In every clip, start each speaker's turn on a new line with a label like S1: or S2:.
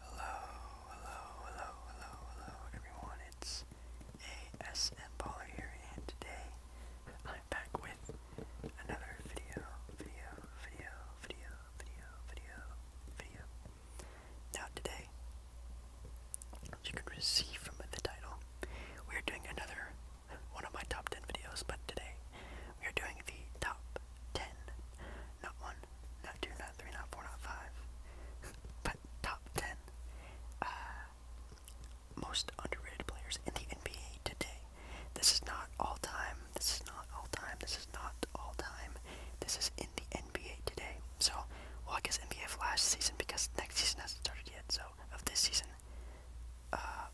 S1: Hello, hello, hello, hello, hello everyone, it's ASM Baller here, and today I'm back with another video, video, video, video, video, video, video. Now today, as you can see from the title, we're doing another one of my top 10 videos, but today we're doing the top 10 not one, not two, not three, not four, not five, but top ten uh, most underrated players in the NBA today. This is not all time. This is not all time. This is not all time. This is in the NBA today. So, well, I guess NBA for last season because next season hasn't started yet. So, of this season, uh,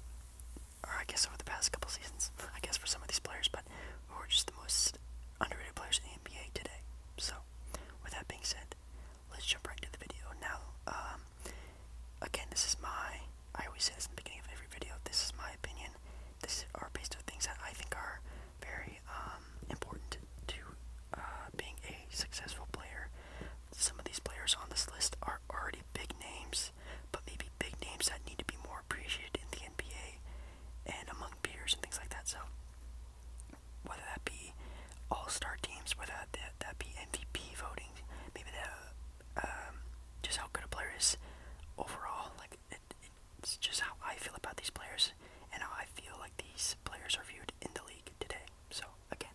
S1: or I guess over the past couple seasons, I guess for some of these players, but who are just the most underrated players in the NBA today. So, with that being said, let's jump right into the video. Now, um, again, this is my, I always say this the beginning of every video, this is my opinion. This are based on things that I think are very um, important to uh, being a successful player. Some of these players on this list are already big names, but maybe big names that need to be more appreciated in the NBA and among peers and things like that. So whether that be all-star teams, whether that, that be MVP voting, maybe that um, just how good a player is overall. Like it's just how I feel about these players and how I feel like these players are viewed in the league today. So again,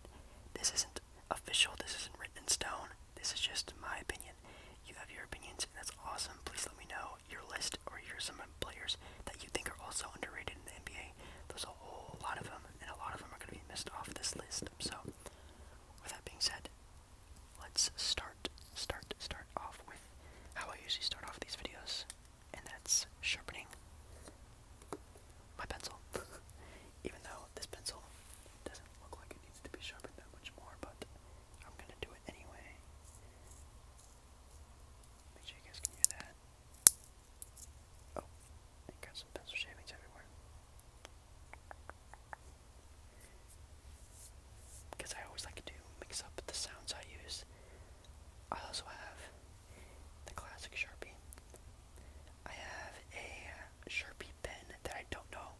S1: this isn't official. This isn't written in stone. This is just my opinion. You have your opinions, and that's awesome. Please let me know your list or your some players that you think are also underrated in the NBA. There's a whole lot of them, and a lot of them are going to be missed off this list. So, with that being said, let's start, start, start off with how I usually start off these videos, and that's sharpening my pencil. Even though this pencil doesn't look like it needs to be sharpened that much more, but I'm gonna do it anyway. Make sure you guys can hear that. Oh, I got some pencil shavings everywhere. Because I always like to mix up the sounds I use. I also have the classic Sharpie. I have a Sharpie pen that I don't know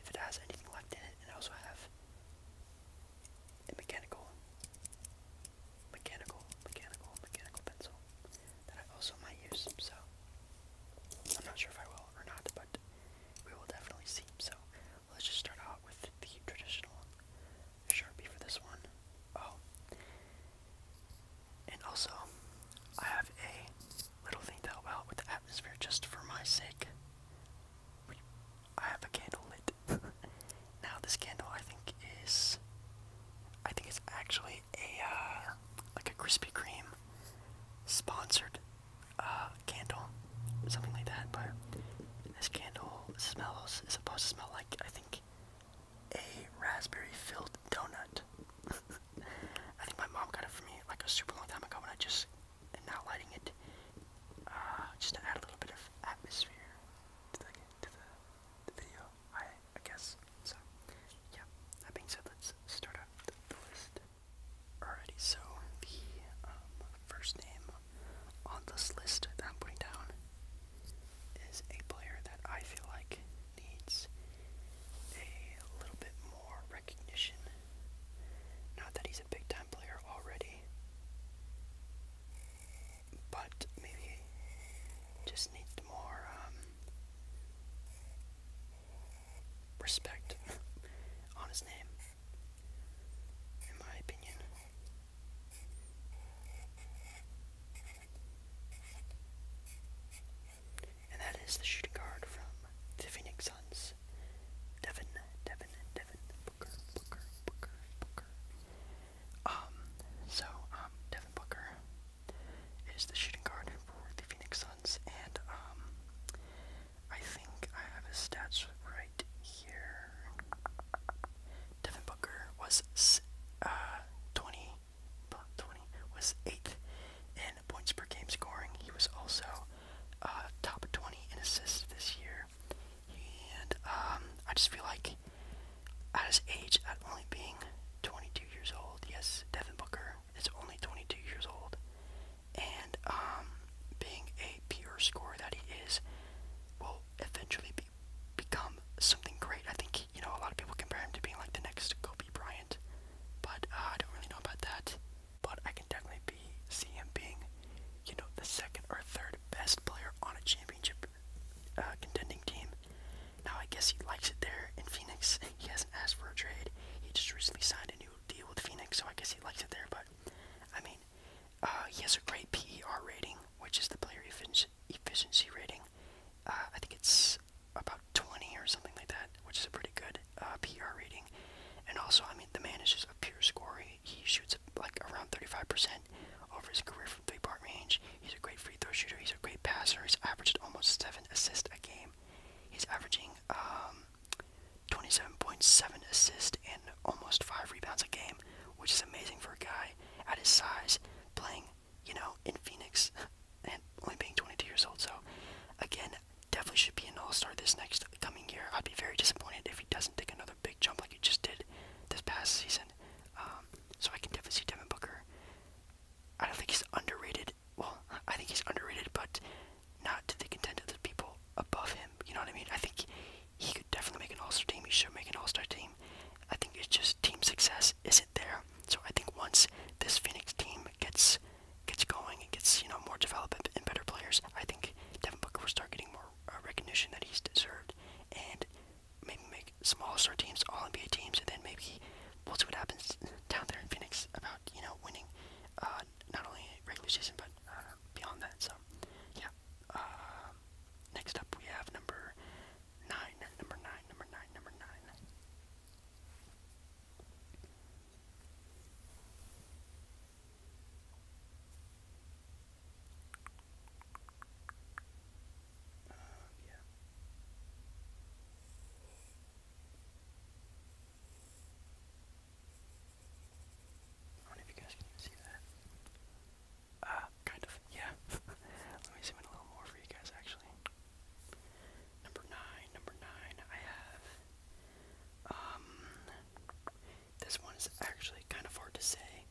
S1: if it has anything left in it, and I also have a mechanical, mechanical, mechanical, mechanical pencil that I also might use, so I'm not sure if I will or not, but we will definitely see. So let's just start out with the traditional Sharpie for this one. Oh, and also I have a little thing to help out with the atmosphere just for my sake. I have a candle lit. now this candle I think is I think it's actually a uh, like a Krispy Kreme sponsored uh, candle, something like that. But this candle smells is supposed to smell like I think a raspberry filled donut. I think my mom got it for me like a super long time ago, and I just and not lighting it, uh, just to add a little bit of atmosphere to the, to the, the video, I, I guess. So, yeah, that being said, let's start out the, list. Alrighty, so the um, first name on this list that I'm putting down is a player that I feel like needs a little bit more recognition. Not that he's a big time player already, but maybe just needs more um, respect on his name, in my opinion. And that is the shooting guard from the Phoenix Suns. Devin, Devin, Devin, Booker, Booker, Booker, Booker. Um, so, um, Devin Booker is the shooting guard for the Phoenix Suns, and, um, I think I have his stats right here. Devin Booker was, uh, 20, was 8th in points per game scoring. He was also uh, top of 20 in assists this year. And um, I just feel like at his age, at only being 22 years old, yes, Devin Booker is only 22 years old, and um, being a pure scorer that he is, will eventually be, become something great. I think you know a lot of people compare him to being like the next Kobe Bryant, but uh, I don't really know about that but I can definitely be, see him being, you know, the second or third best player on a championship uh, contending team. Now I guess he likes it there in Phoenix. He hasn't asked for a trade. He just recently signed a new deal with Phoenix, so I guess he likes it there. But I mean, uh, he has a great PER rating, which is the player efficiency rating. Uh, I think it's about 20 or something like that, which is pretty good. Uh, PR rating, and also I mean the man is just a pure scorer. He, shoots like around 35% over his career from three-point range. He's a great free throw shooter. He's a great passer. He's averaged almost seven assists a game. He's averaging um, 27.7 assists and almost five rebounds a game, which is amazing for a guy at his size playing, you know, in Phoenix and only being 22 years old. So, again, definitely should be an all star this next coming year. I'd be very disappointed if he doesn't take another big jump like he just did this past season. Um, so I can definitely see Devin Booker. I don't think he's underrated. Well, I think he's underrated, but not to the content of the people above him. You know what I mean? I think he could definitely make an all star team. He should make an all star team. I think it's just team success isn't there. So I think once this Phoenix team gets gets going and gets you know more developed and better players, I think Devin Booker will start getting more uh, recognition that he's deserved, and maybe make small star teams, All-NBA teams, and then maybe we'll see what happens down there in Phoenix about you know winning uh, not only regular season but uh, beyond that. So yeah. Um, next up we have number nine, number nine, number nine, number nine. Um, I don't know if you guys can even see that. Uh, kind of, yeah. Let me zoom in a little more for you guys, actually. Number nine, number nine, I have um, this one is actually kind of hard to say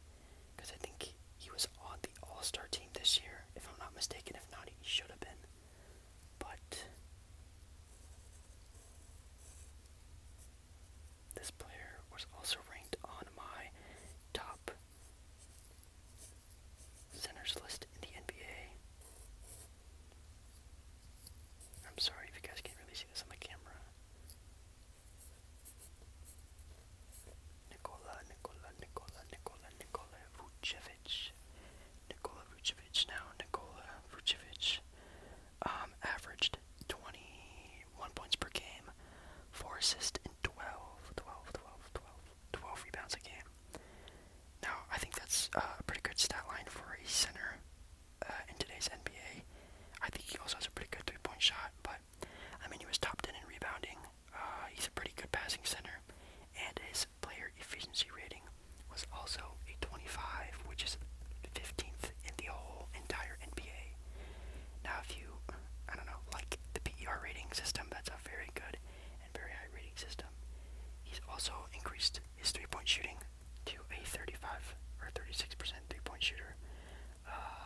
S1: because I think he, was on the All Star team this year, if I'm not mistaken. If not, he should have been. But this player was also ranked on my top centers list in the NBA. I'm sorry if you guys can't really see this on the camera. Nikola, Nikola, Nikola, Nikola, Nikola Vucevic. Nikola Vucevic now, Nikola Vucevic um, averaged 21 points per game, 4 assists, and 12, rebounds a game. Now, I think that's uh, a pretty good stat line for a center uh, in today's NBA. I think he also has a pretty good three point shot, but I mean, he was top 10 in rebounding. Uh, he's a pretty good passing center, and his player efficiency rating was also a 25, which is 15th in the whole entire NBA. Now, if you, I don't know, like the PER rating system, that's a very good and very high rating system. He's also increased his three point shooting to a 35 or 36% three-point shooter. Uh,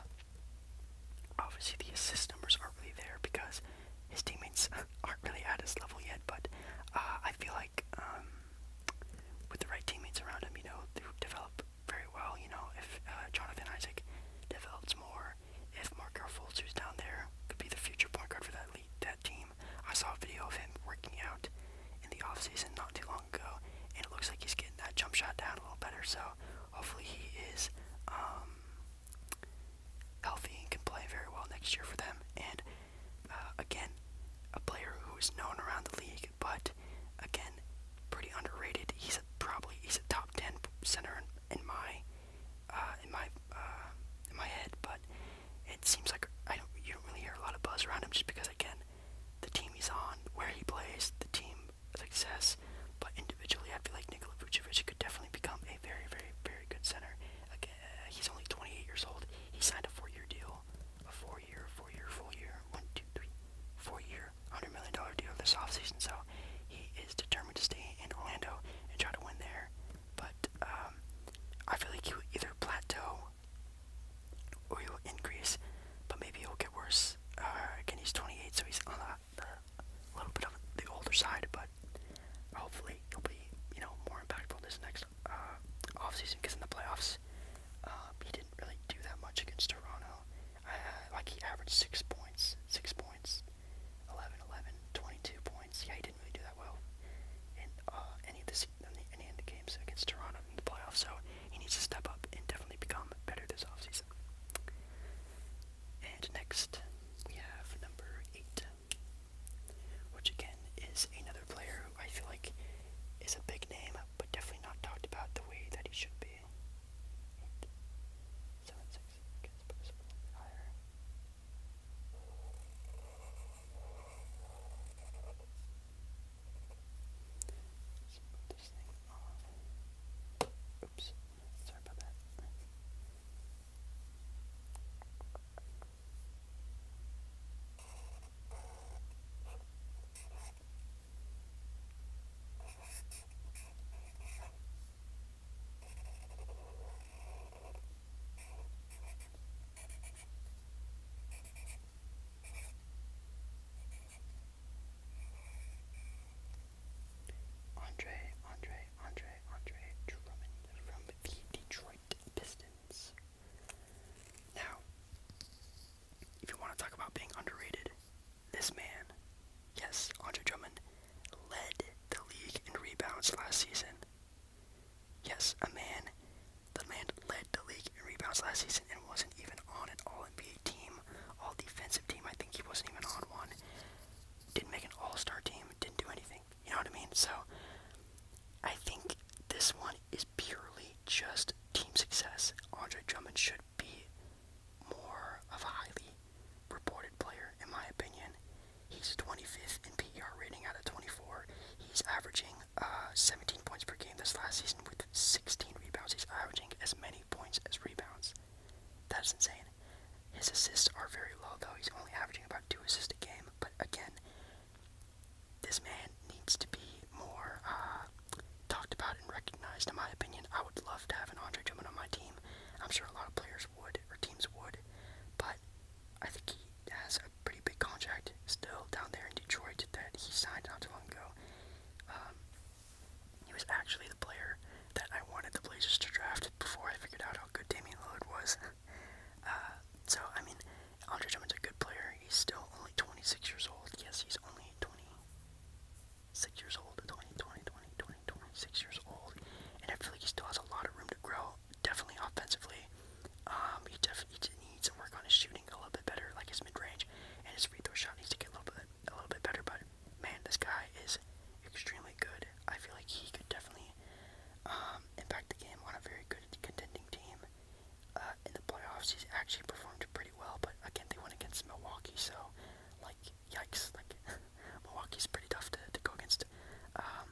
S1: obviously, the assist numbers aren't really there because his teammates aren't really at his level yet. But uh, I feel like um, with the right teammates around him, you know, they develop very well. You know, if uh, Jonathan Isaac develops more, if Mark Fultz, who's down there, could be the future point guard for that lead that team. I saw a video of him working out in the offseason not too long ago, and it looks like he's getting that jump shot down a little better. So hopefully he is um, healthy and can play very well next year for them. And uh, again, a player who is known around the league, but again, pretty underrated. He's a, probably he's a top ten center in, in my uh, in my uh, in my head, but it seems like I don't you don't really hear a lot of buzz around him just because again, the team he's on, where he plays, the team success. But individually, I feel like Nikola Vucevic could definitely become a very, very, very good center. Again, uh, he's only 28 years old. He signed a four-year deal, a four-year, four-year, four-year, one, two, three, four-year, hundred million dollar deal this offseason. So he is determined to stay in Orlando and try to win there. But um, I feel like he will either plateau or he will increase, but maybe it will get worse. Uh, again, he's 28, so he's on the, the little bit of the older side, but hopefully he'll be you know more impactful this next uh, offseason because in the playoffs uh, he didn't really do that much against Toronto. Uh, like he averaged six points, six points, 11, 11, 22 points. Yeah, he didn't really do that well in uh, any of the any of the games against Toronto in the playoffs. So he needs to step up and definitely become better this offseason. And next we have number eight, which again is another player who I feel like is a big name, but definitely not talked about the way that he should be. Let's put this thing off. Oops, sorry about that. Andre, Andre, Andre, Andre Drummond from the Detroit Pistons. Now, if you want to talk about being underrated, this man, yes, Andre Drummond, led the league in rebounds last season Yes, a man. The man led the league in rebounds last season and wasn't even on an All NBA team, All Defensive team. I think he wasn't even on one. Didn't make an All Star team. Didn't do anything. You know what I mean? So I think this one is purely just team success. Andre Drummond should be more of a highly reported player, in my opinion. He's 25th in PER rating out of 24. He's averaging uh, 17 points per game this last season with 16 rebounds. He's averaging as many points as rebounds. That's insane. His assists are very low, though. He's only averaging about two assists a game. But again, this man needs to be more uh, talked about and recognized, in my opinion. I would love to have an Andre Drummond on my team. I'm sure a lot of players players would or teams would, but I think he has a pretty big contract still down there in Detroit that he signed not too long ago. Um, he was actually the player that I wanted the Blazers to draft before I figured out how good Damian Lillard was. uh, so, I mean, Andre Drummond's a good player. He's still only 26 years old. Yes, he's only 26 years old, 20, 20, 20, 20, 26 years old. And I feel like he still has a lot of room to grow definitely offensively. Um, he definitely needs to work on his shooting a little bit better, like his mid range, and his free throw shot needs to get a little bit a little bit better. But man, this guy is extremely good. I feel like he could definitely um, impact the game on a very good contending team. Uh, in the playoffs, he's actually performed pretty well. But again, they went against Milwaukee, so like yikes! Like Milwaukee's pretty tough to, to go against. Um,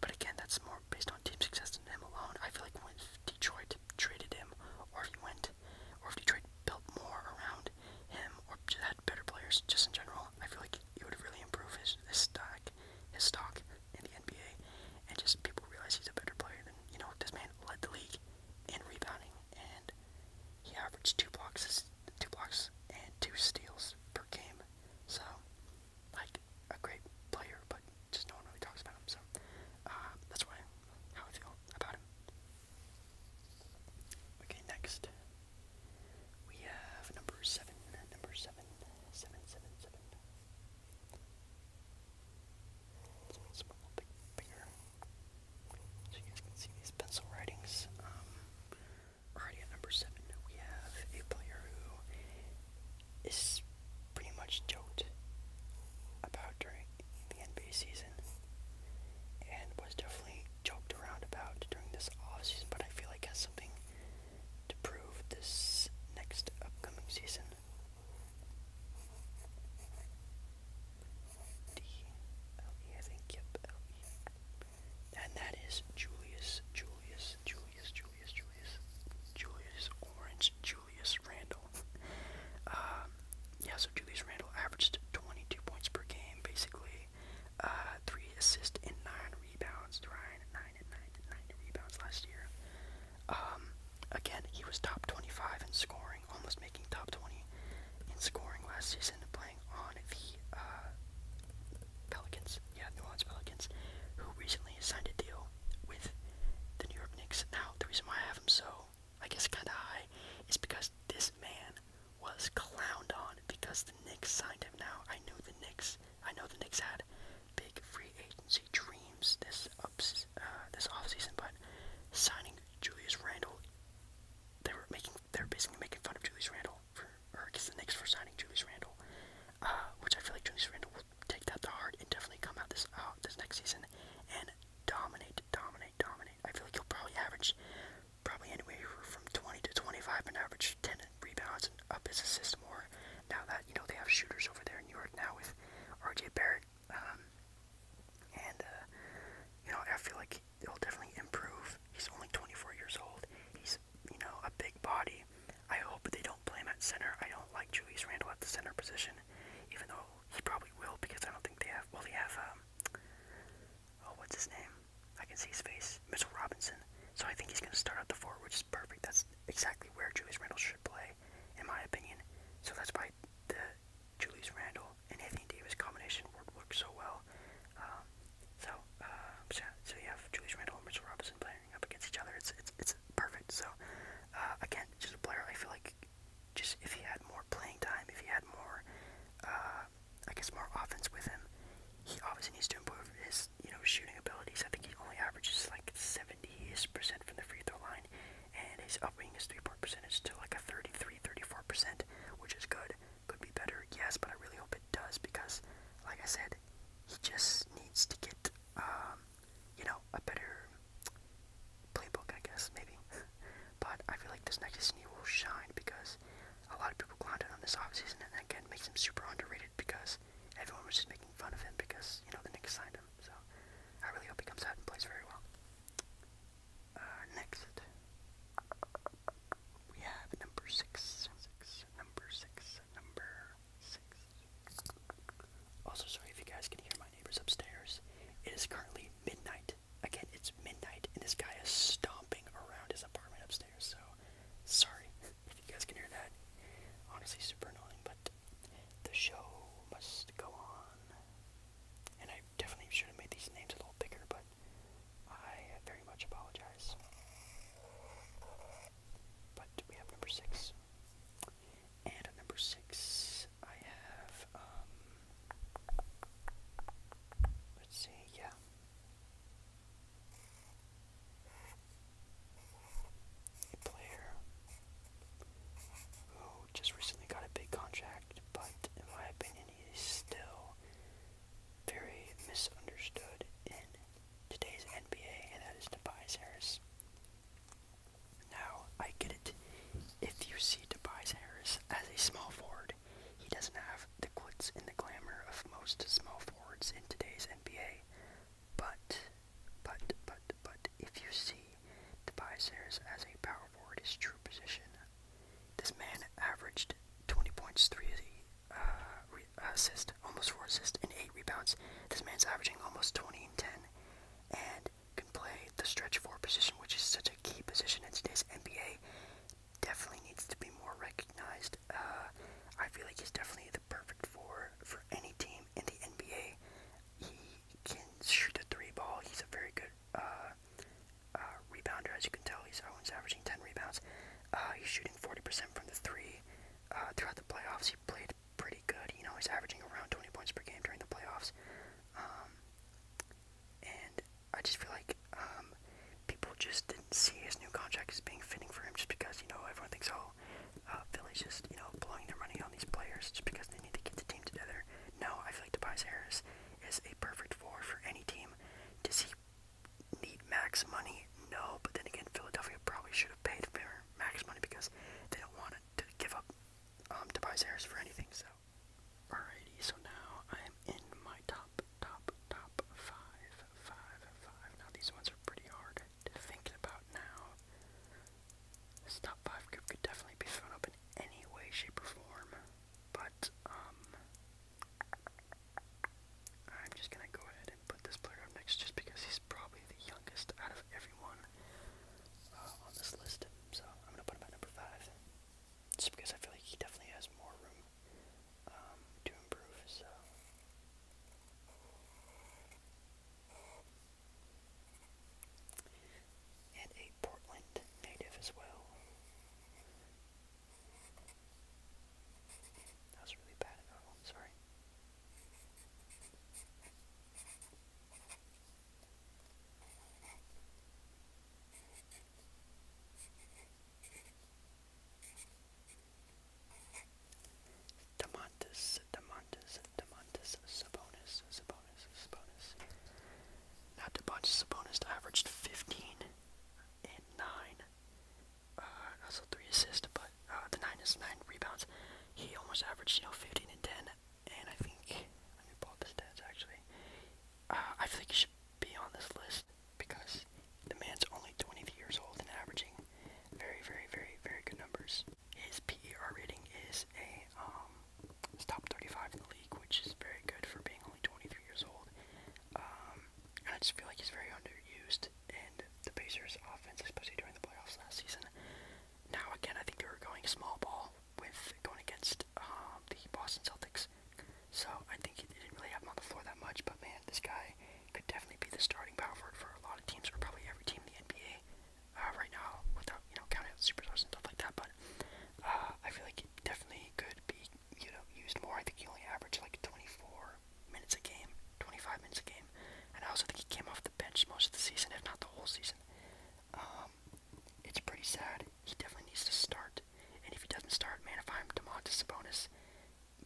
S1: but again, that's more based on team success than him alone. I feel like when Detroit traded him, or if he went, or if Detroit built more around him, or just had better players just in general, I feel like he would really improve his, his stock, his stock in the NBA, and just people realize he's a better player than you know. This man led the league in rebounding, and he averaged two blocks, two blocks, and two steals per game. So like a great player, but just no one really talks about him. So uh, that's why how I feel about him. Okay, next we have number seven. Number seven, seven, seven, seven. Let's make this one a little bit bigger, so you guys can see these pencil writings. Um, Alrighty, at number seven, we have a player who is pretty much joked about during the NBA season, and was definitely joked around about during this off season. But I feel like has something to prove this next upcoming season. D L E, I think. Yep, L E and that is Julius, Julius, Julius, Julius, Julius, Julius Orange, Julius Randle. Um, yeah, so Julius Randle averaged 22 points per game, basically. Uh, three assists and nine rebounds. Ryan, nine and nine and nine rebounds last year. Um, again, he was top 25 in scoring, almost making top 20 in scoring last season, playing on the uh, Pelicans yeah, New Orleans Pelicans, who recently signed a deal with the New York Knicks. Now, the reason why I have him so, I guess, kind of high, is because this man was clowned on because the Knicks signed him. Now, I knew the Knicks, I know the Knicks had big free agency dreams this ups, uh, this offseason, but signing Julius Randle, they were making, they were basically making fun of Julius Randle for or against the Knicks for signing Julius Randle, uh, which I feel like Julius Randle will take that to heart and definitely come out this out uh, this next season and dominate, dominate, dominate. I feel like he'll probably average probably anywhere from 20 to 25 and average 10 rebounds and up his assist more. Now that you know they have shooters over there in New York now with RJ Barrett, um, and uh, you know I feel like he'll definitely improve. He's only 24 years old. He's you know, a big body. I hope they don't play him at center. I don't like Julius Randle at the center position, even though he probably will because I don't think they have. Well, they have. Um, oh, what's his name? I can see his face. Mitchell Robinson. So I think he's going to start out the forward, which is perfect. That's exactly where Julius Randle should play, in my opinion. So that's why the Julius Randle and Anthony Davis combination worked, worked so well. Um, so, uh, so, so you have Julius Randle and Mitchell Robinson playing up against each other. It's it's it's perfect. So, uh, again, just a player I feel like, just if he had more playing time, if he had more, uh, I guess more offense with him, he obviously needs to improve his you know shooting abilities. I think he only averages like seventy-ish percent from the free throw line, and he's upping his three-point percentage to like a 33, 34 percent, which is good could be better, yes, but I really hope it does because, like I said, he just needs to get, um, you know, a better playbook, I guess, maybe. but I feel like this next season he will shine because a lot of people clowned on this offseason, and that again makes him super underrated because everyone was just making fun of him because, you know, the Knicks signed him. So I really hope he comes out and plays very well. Uh, next. We have number six, six, number six, number six. Also, sorry if you guys can hear my neighbors upstairs. It is currently midnight. Again, it's midnight, and this guy is stomping around his apartment upstairs. So, sorry if you guys can hear that. Honestly, super annoying, but the show must go on. And I definitely should have made these names a little bigger, but I very much apologize. But we have number six. And at number six, I have, um, let's see, yeah. A player who just recently got a big contract, but in my opinion, he is still very misunderstood in today's NBA, and that is Tobias Harris. Now, I get it. If you see Tobias Harris as a small forward, he doesn't have the glitz and the glamour of most small forwards in today's NBA. But, but, but, but, if you see Tobias Harris as a power forward, his true position, this man averaged 20 points, 3 uh, assists, almost 4 assists, and 8 rebounds. This man's averaging almost 20 and 10 and can play the stretch 4 position, which is such a key position in today's NBA. Definitely needs to be more recognized. Uh, I feel like he's definitely the perfect 4 for any team in the NBA. He can shoot a 3 ball, he's a very good uh, uh, rebounder, as you can tell. He's Owens averaging 10 rebounds. Uh, he's shooting 40% from the three. Uh, throughout the playoffs, he played pretty good. You know, he's averaging around 20 points per game during the playoffs. Um, and I just feel like um, people just didn't see his new contract as being fitting for him just because, you know, everyone thinks, oh, uh, Philly's just, you know, blowing their money on these players just because they need to get the team together. No, I feel like Tobias Harris is a perfect forward for any team. Does he need max money? No, but then again, Philadelphia probably should have paid for max money because they don't want to give up um, Tobias Harris for anything. So, alrighty. So now I am in my top, top, top five, five, five. Now these ones are pretty hard to think about now. This top five group could definitely be thrown up in any way, shape, or form. But, um, I'm just gonna go ahead and put this player up next just because he's probably the youngest out of everyone uh, on this list. So I'm gonna put him at number five. Just because I feel like he definitely has more room um, to improve, so. And a Portland native as well. That was really bad at normal, sorry. Demontis, Demontis, Demontis, Sabonis, Sabonis, Sabonis. Not to Sabonis averaged 15 and 9 uh, also three assists, but uh, the nine is nine rebounds. He almost averaged, you know, 15 and 10, and I think let me pull up his stats actually. Uh, I think he should be on this list because the man's only 23 years old and averaging very, very, very, very good numbers. His PER rating is a um, top 35 in the league, which is very good for being only 23 years old. Um, I just feel like he's very underused in the Pacers' offense, especially during the playoffs last season. Now, again, I think they were going small ball with going against um, the Boston Celtics. So I think he didn't really have him on the floor that much, but man, this guy could definitely be the starting power forward for a lot of teams, or probably every team in the NBA uh, right now, without you know counting out superstars and stuff like that. But uh, I feel like he definitely could be you know, used more. I think he only averaged like 24 minutes a game, 25 minutes a game. And I also think he came off the bench most of the season, if not the whole season. Um, it's pretty sad. He definitely needs to start. And if he doesn't start, man, if I'm DeMontis Sabonis,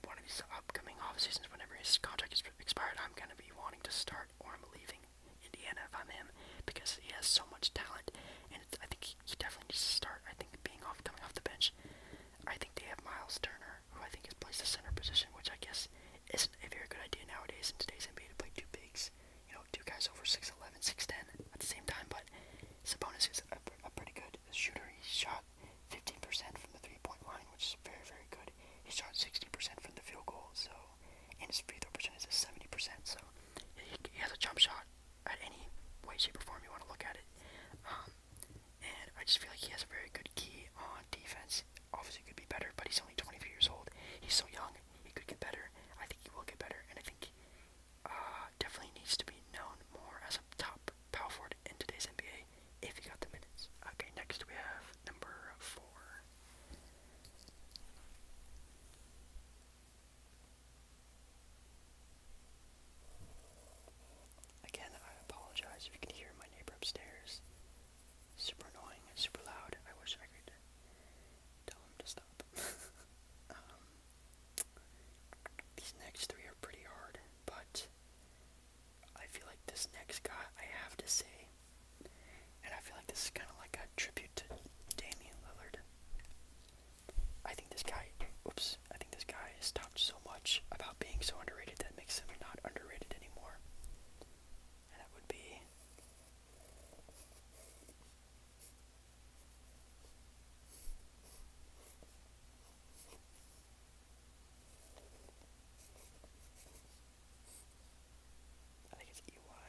S1: one of these upcoming off seasons, whenever his contract is expired, I'm gonna be wanting to start, or I'm leaving Indiana if I'm him, because he has so much talent, and I think he, he definitely needs to start. I think being off coming off the bench, I think they have Miles Turner, who I think is placed the center position, which I guess isn't a very good idea nowadays in today's NBA to play two bigs. You know, two guys over 6'11", 6'10", at the same time. But Sabonis is a, a pretty good shooter. He shot 15% from the three-point line, which is very very good. He shot 60% from the field goal, so and his free throw percentage is 70%. So he, he has a jump shot at any way, shape, or form you want to look at it. Um, and I just feel like he has a very good key on defense. Obviously, could be better, but he's only 23 years old. He's so young. He could get better. I think he will get better, and I think uh, definitely needs to be known more as a top power forward in today's NBA if he got the minutes. Okay, next we have number four. Again, I apologize if you can hear my neighbor upstairs. Super annoying, super loud. I wish I could tell him to stop. Um, these next three are pretty hard, but I feel like this next guy I have to say, and I feel like this is kind of like a tribute to Damian Lillard. I think this guy, oops, I think this guy has talked so much about being so underrated that makes him not underrated anymore. that would be. I think it's EY.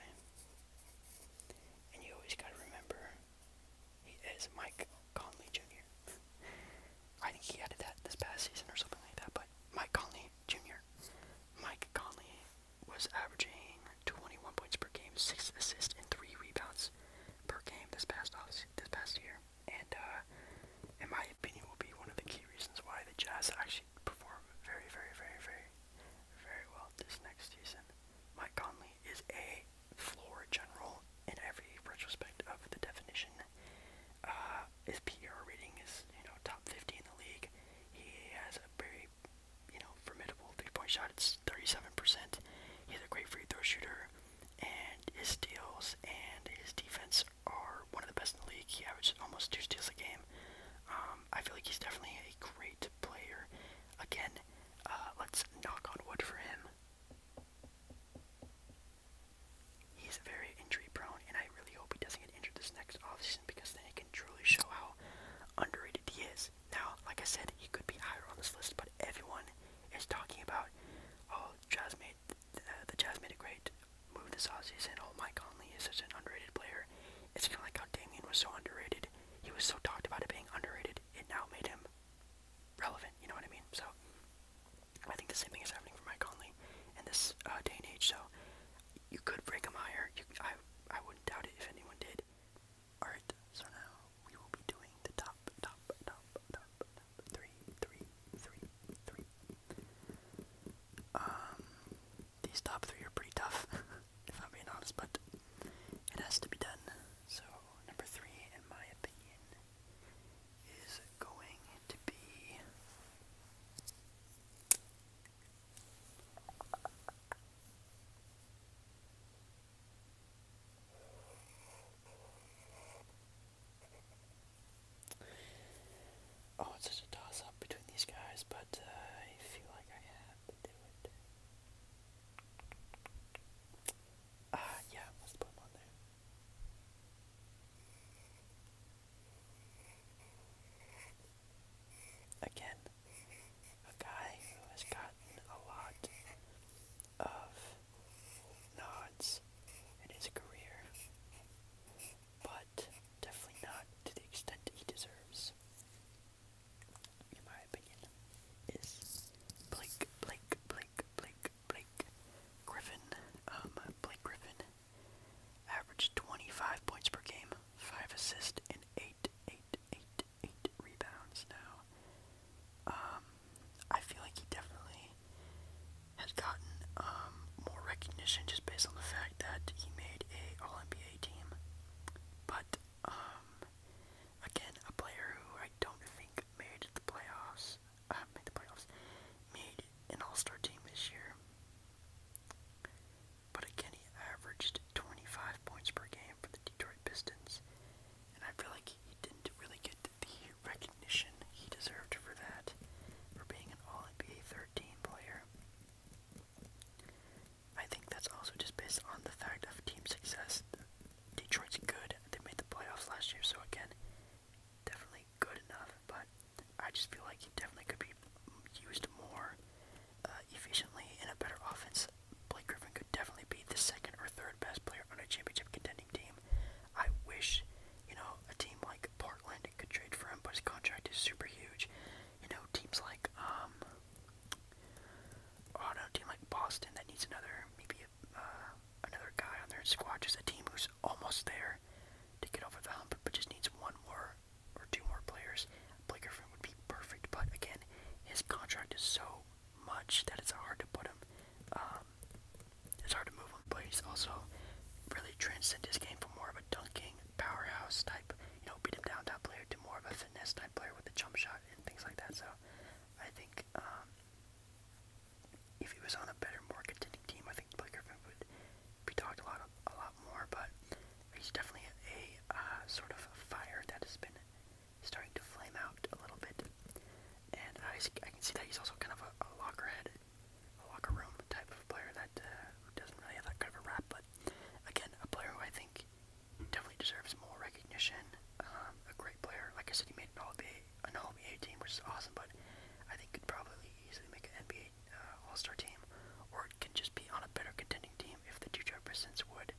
S1: And you always gotta remember he is Mike Conley Jr. I think he added that this past season or something like that, but Mike Conley Jr. Mike Conley was averaging 21 points per game, 6 assists, and 3 rebounds per game this past off this past year. And uh, in my opinion will be one of the key reasons why the Jazz actually perform very, very, very, very, very well this next season. Mike Conley is a floor general in every retrospect of the definition. Uh, his PR rating is, you know, top 50 in the league. He has a very, you know, formidable three-point shot. It's 37%. He's a great free throw shooter, and his steals and his defense are one of the best in the league. He averages almost two steals a game. Um, I feel like he's definitely a great player. Again, uh, let's knock on wood for him. He's very injury prone, and I really hope he doesn't get injured this next off season because then he can truly show how underrated he is. Now, like I said, he could be higher on this list, but everyone is talking about, oh, Jazz made uh, the Jazz made a great move this offseason. Oh, Mike Conley is such an underrated player. It's kind of like how Damien was so underrated. He was so talked about it being underrated, it now made him relevant, you know what I mean? So, I think the same thing is happening for Mike Conley in this uh, day and age, so you could break him higher. I, I wouldn't doubt it if anyone did. Alright, so now we will be doing the top, top, top, top, top, three, three, three, three. Um, these top three are pretty tough. if I'm being honest, but it has to be done. So, number three, in my opinion, is going to be. Oh, it's such a toss up between these guys, but uh, I feel like I have to do it. Ah, uh, yeah, Again, a guy who has gotten a lot of nods in his career, but definitely not to the extent he deserves in my opinion, is Blake, Blake, Blake, Blake, Blake Griffin. Um, Blake Griffin averaged 25 points per game, 5 assists, and 8, rebounds now. Um, I feel like he definitely has gotten um, more recognition just based on the fact that he made a All-NBA team. But um, Again, a player who I don't think made the playoffs, uh, made the playoffs, made an all-star team this year. But again, he averaged 25 points per game for the Detroit Pistons, and I feel like he didn't really get the recognition he deserved for that, for being an All-NBA 13 player. I think that's also just based on the fact of team success. Detroit's good. They made the playoffs last year, so again, definitely good enough. But I just feel like he definitely could be used more uh, efficiently in a better offense. Blake Griffin could definitely be the second or third best player on a championship contending team. I wish, you know, a team like Portland could trade for him, but his contract is super huge you know, teams like, um, oh, I don't know, team like Boston that needs another, maybe a, uh, another guy on their squad, just a team who's almost there to get over the hump, but just needs one more or two more players. Blake Griffin would be perfect, but again, his contract is so much that it's hard to put him, um, it's hard to move him, but he's also really transcend his game from more of a dunking, powerhouse type, you know, beat him down type player to more of a finesse type player with a jump shot and things like that. So I think um, if he was on a better, more contending team, I think Blake Griffin would be talked a lot, of, a lot more. But he's definitely a uh, sort of a fire that has been starting to flame out a little bit, and uh, I can see that he's also kind of a, a lockerhead, a locker room type of player that uh, doesn't really have that kind of a rap. But again, a player who I think definitely deserves more recognition. Um, a great player. Like I said, he made an All-NBA, an All-NBA team, which is awesome, but I think could probably easily make an NBA uh, All-Star team, or it can just be on a better contending team if the Detroit Pistons would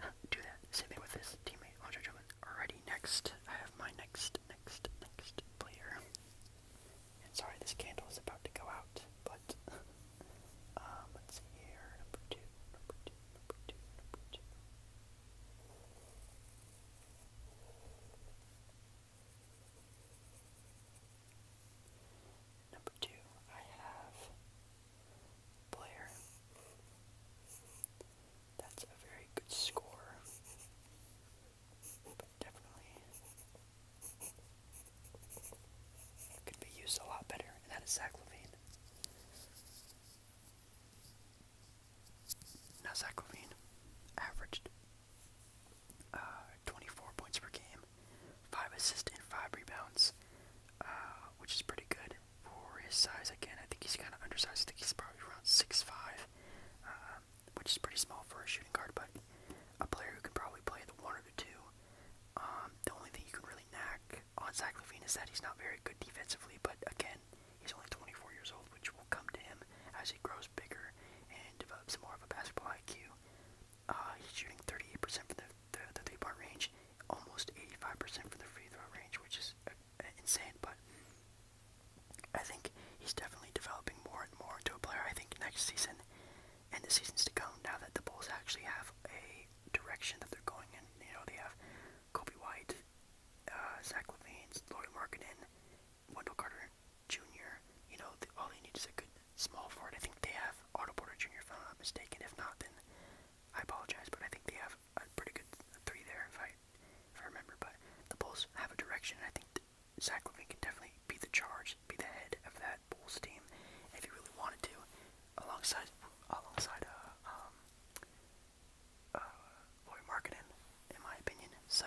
S1: uh, do that. Same thing with his teammate, Andre Drummond. Alrighty, next, I have my next, next, next player. And sorry, this candle is about to go out, but um, let's see here, number two, number two, number two, number two. Number two, I have Blair. That's a very good score, but definitely could be used a lot better, and that is Saclovine. Now Saclovine averaged uh, 24 points per game, 5 assists and 5 rebounds, uh, which is pretty good for his size. Again, I think he's kind of undersized. I think he's probably around six-five, uh, which is pretty small for a shooting guard, but a player who can probably play the 1 or the 2 um, the only thing you can really knack on Zach Levine is that he's not very good defensively, but again, he's only 24 years old, which will come to him as he grows bigger and develops more of a basketball IQ. Uh, he's shooting 38% from the, the, the three-point range, almost 85% from the free throw range, which is uh, insane, but I think he's definitely developing more and more into a player. I think next season and the seasons to come now that the Bulls actually have a direction that they're going in. You know, they have Kobe White, uh, Zach Levine, Laurie Markkinen, Wendell Carter Jr. You know, all they need is a good small forward. I think they have Otto Porter Jr. if I'm not mistaken. If not, then I apologize, but I think they have a pretty good three there if I, if I remember. But the Bulls have a direction, and I think Zach Levine can definitely be the charge, be the head of that Red Bull's team if you really wanted to, alongside alongside uh, um, uh, Lori Markkinen, in my opinion. So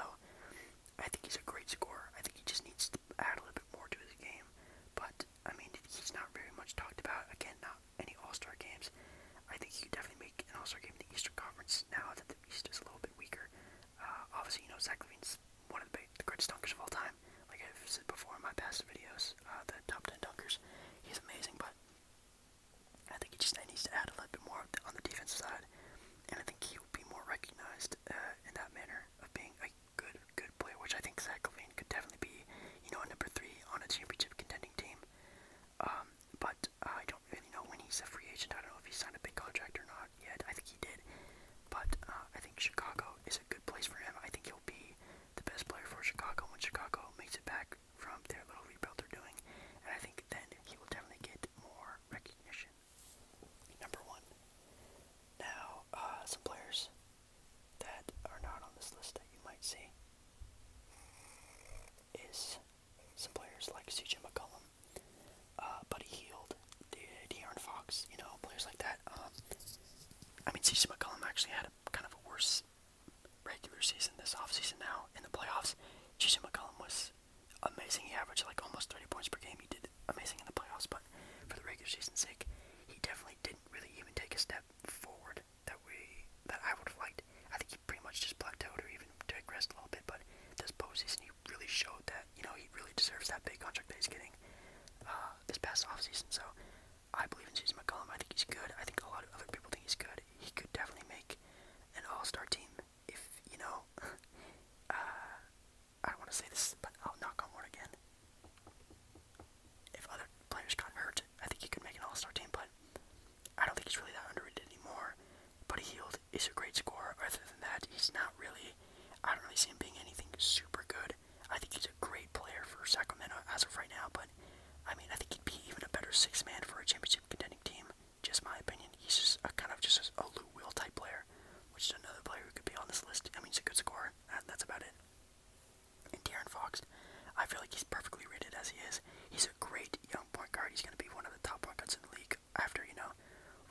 S1: I think he's a great scorer. I think he just needs to add a little bit more to his game. But I mean, he's not very much talked about. Again, not any All Star games. I think he could definitely make an All Star game in the Eastern Conference now that the East is a little bit weaker. Uh, obviously, you know Zach Levine's one of the the greatest dunkers of all time. Like I've said before in my past videos, uh, the top 10 dunkers, he's amazing, but I think he just needs to add a little bit more on the defense side, and I think he'll be more recognized uh, in that manner of being a good, good player, which I think Zach Levine could definitely be, you know, a number three on a championship contending team. Um, but I don't really know when he's a free agent. I don't know if he signed a big contract or not yet. I think he did, but uh, I think Chicago is a good place for him. I think he'll be the best player for Chicago when Chicago makes it back from their little rebuild they're doing. And I think then he will definitely get more recognition. Number one. Now, uh, some players that are not on this list that you might see is some players like CJ McCollum, uh, Buddy Heald, De'Aaron Fox, you know, players like that. Um, I mean, CeCe McCollum actually had a kind of a worse regular season this offseason now in the playoffs. CeCe McCollum was amazing. He averaged like almost 30 points per game. He did amazing in the playoffs, but for the regular season sake, he definitely didn't really even take a step forward that way. that I would have liked. I think he pretty much just plateaued or even digressed a little bit, but this postseason he really showed that, you know, he really deserves that big contract that he's getting. Uh, this past offseason. So I believe in Jason McCollum. I think he's good. I think a lot of other people think he's good. He could definitely make an all-star team if, you know, uh, I don't want to say this, but I'll knock on wood again. If other players got hurt, I think he could make an all-star team, but I don't think he's really that underrated anymore. But he healed. is a great scorer. Other than that, he's not really, I don't really see him being anything super good good. I think he's a great player for Sacramento as of right now, but I mean, I think he'd be even a better six man for a championship contending team. Just my opinion. He's just a kind of just a Lou Will type player, which is another player who could be on this list. I mean, he's a good scorer. And uh, that's about it. And De'Aaron Fox, I feel like he's perfectly rated as he is. He's a great young point guard. He's going to be one of the top point guards in the league after, you know,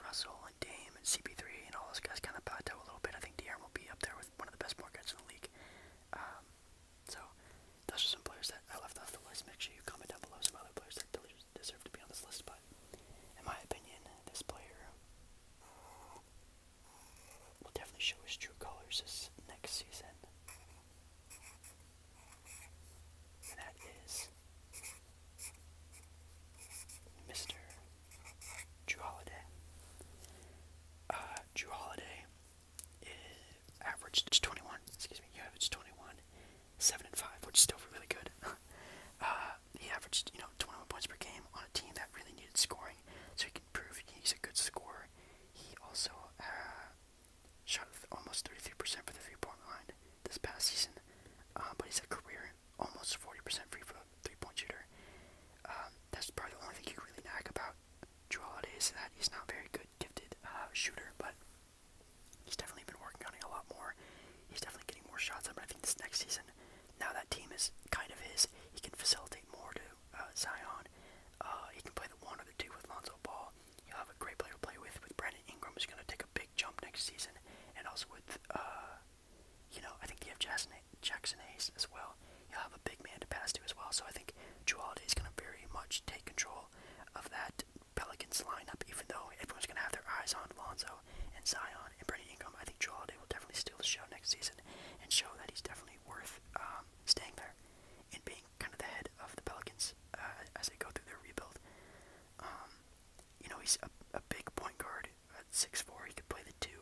S1: Russell Hall and Dame and CP3 and all those guys kind of plateau a little bit. I think DRM will be up there with one of the best markets in the league. Um, so those are some players that I left off the list. Make sure you comment down below some other players that deserve to be on this list. But in my opinion, this player will definitely show his true colors this next season. And that is Mr. Drew Holiday. Uh, Drew Holiday is averaged 21. Excuse me, he averaged 21, seven and five, which is still really good. uh, he averaged you know 21 points per game on a team that really needed scoring, so he can prove he's a good scorer. He also uh, shot almost 33% for the three-point line this past season, uh, but he's a career almost 40% free throw three-point shooter. Um, that's probably the only thing you really nag about Drew is that he's not very good, gifted uh, shooter, but he's definitely been working on it a lot more. He's definitely getting more shots up, but I think this next season, now that team is kind of his, he can facilitate more to uh, Zion. Uh, he can play the one or the two with Lonzo Ball. He'll have a great player to play with with Brandon Ingram, who's going to take a big jump next season, and also with you know, I think you have Jackson, Jackson Hayes as well. You'll have a big man to pass to as well. So I think Drew Holiday is going to very much take control of that Pelicans lineup, even though everyone's going to have their eyes on Lonzo and Zion and Brady Ingram. I think Drew Holiday will definitely steal the show next season and show that he's definitely worth um, staying there and being kind of the head of the Pelicans uh, as they go through their rebuild. Um, you know, he's a, a big point guard at six four. He could play the two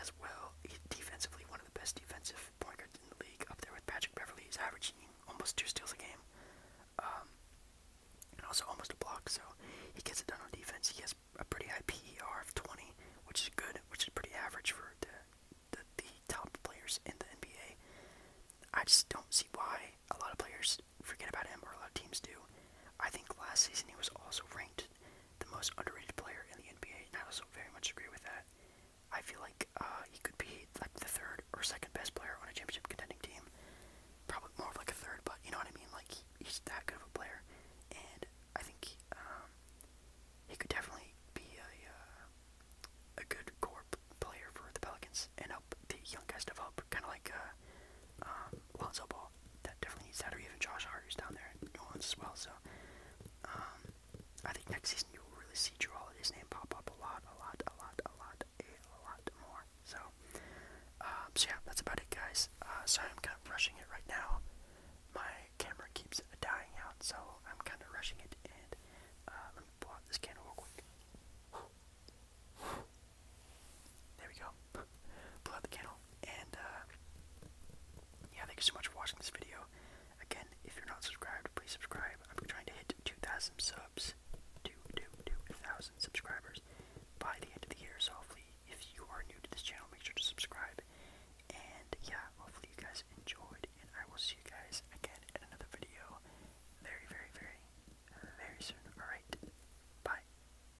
S1: as well. He, defensively, one of the best defensive point guards in the league, up there with Patrick Beverly. He's averaging almost two steals a game, um, and also almost a block. So he gets it done on defense. He has a pretty high PER of 20, which is good, which is pretty average for the, the top players in the NBA. I just don't see why a lot of players forget about him, or a lot of teams do. I think last season he was also ranked ranked the most underrated player in the NBA, and I also very much agree with that. I feel like uh, he could be like the third or second best player on a championship contending team. Probably more of like a third, but you know what I mean. Like he, he's that good of a player, and I think he, um, he could definitely be a uh, a good core player for the Pelicans and help the young guys develop, kind of like uh, um, Lonzo Ball that definitely needs that or even Josh Hart who's down there in New as well. So um, I think next season you'll really see Drew Holiday's name pop up a lot, a lot, a lot, a lot, a lot more. So um, so yeah, that's about it guys. Uh sorry I'm kinda rushing it right now. My camera keeps dying out, so I'm kinda rushing it and uh let me blow out this candle real quick. There we go. Blew out the candle. And, uh, yeah, thank you so much for watching this video. Again, if you're not subscribed, please subscribe. I'm trying to hit 2,000 subs. 2,000 subscribers by the end of the year. So if you are new to this channel, make sure to subscribe. And, yeah, hopefully you guys enjoyed. And I will see you guys again in another video very, very, very soon. Alright, bye.